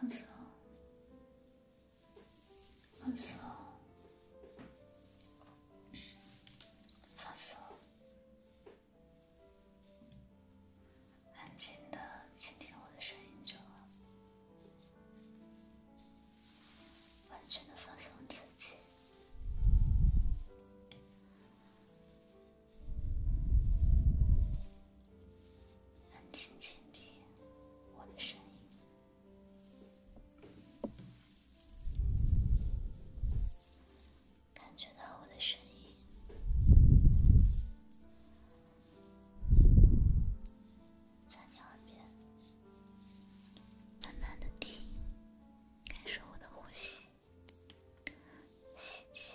放松，放松，放松。安静地倾听我的声音就好，完全的放松自己。安轻轻听我的声音，感觉到我的声音在你耳边，慢慢的听，感受我的呼吸，吸气。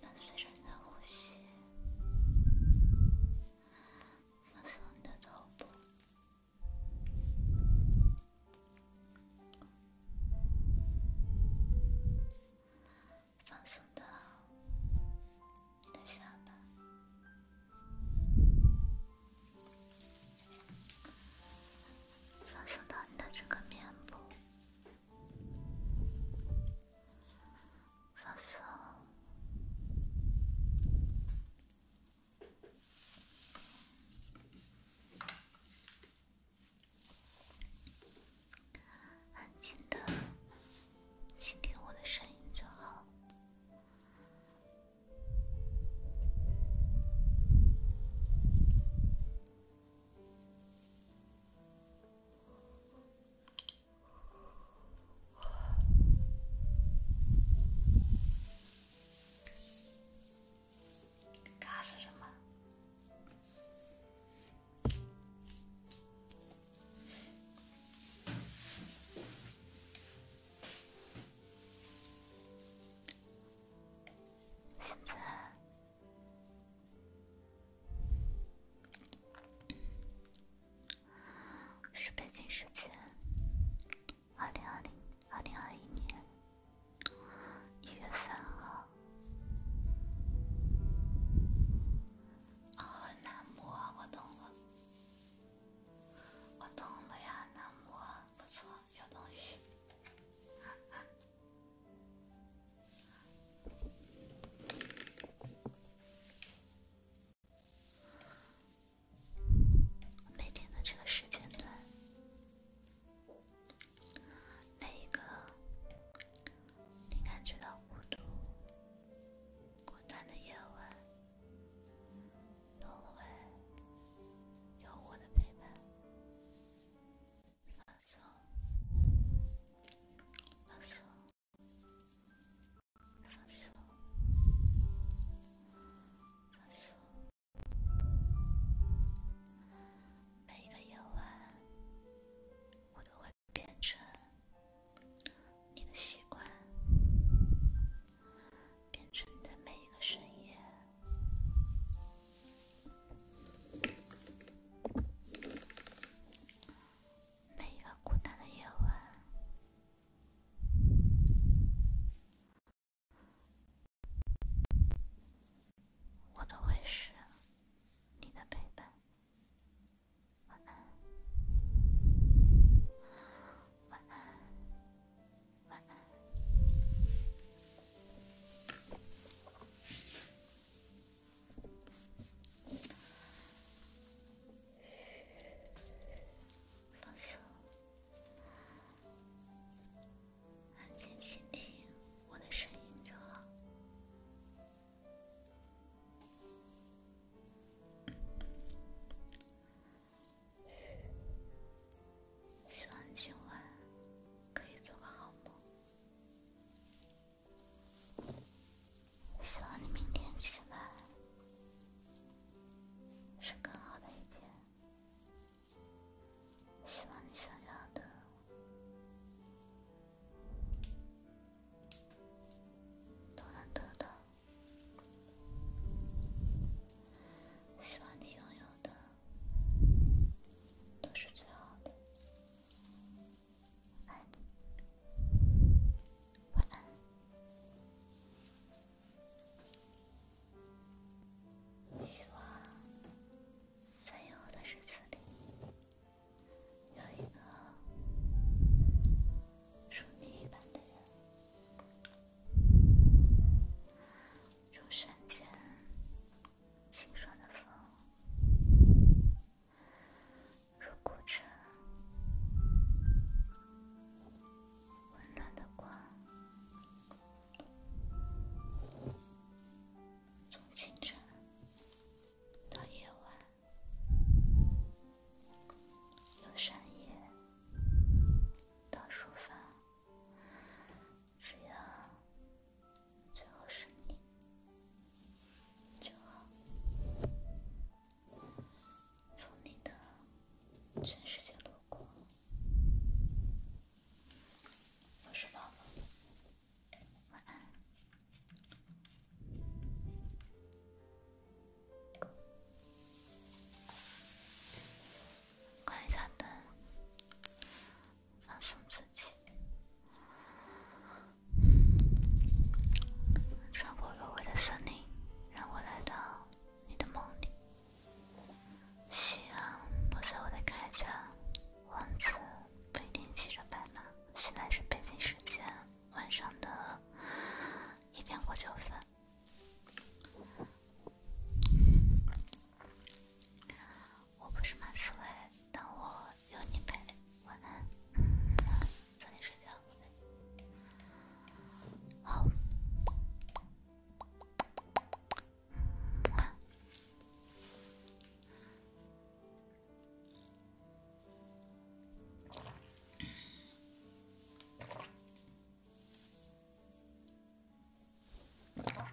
伴随着呼吸，放松你的头部，放松到你的下巴，放松到你的整个面部。放松，安静的，倾听我的声音就好。卡是什么？现在。是北京时间，二零二零二零二一年一月三号。啊，南摩，我懂了，我懂了呀，南摩，不错，有东西。每天的这个时间段，每一个你感觉到孤独、困难的夜晚，都会有我的陪伴。放松，放松，放松，放松。每一个夜晚，我都会变成你的习惯，变成在每一个深夜。每一个孤单的夜晚，我都会是你的陪伴。晚安，晚安，晚安。放松，安静倾听我的声音就好。希望今晚可以做个好梦。希望你明天起来是更好的一天。希望你想要的都能得到。希望你拥有的都是最好的。晚安，晚安。希望在以后的日子里，有一个如你一般的人，如山间清爽的风。如古城，温暖的光，从清晨到夜晚，从深夜到书房，只要。最后是你，就好。从你的全世界路过，我是妈妈，晚安。关上灯，放松自己。穿过芦苇的森林，让我来到你的梦里。夕阳落在我的铠甲，王子不一定骑着白马。现在是北京时间晚上的一点过九分。我不是马思维，但我有你陪。晚安，早点睡觉，宝贝。好。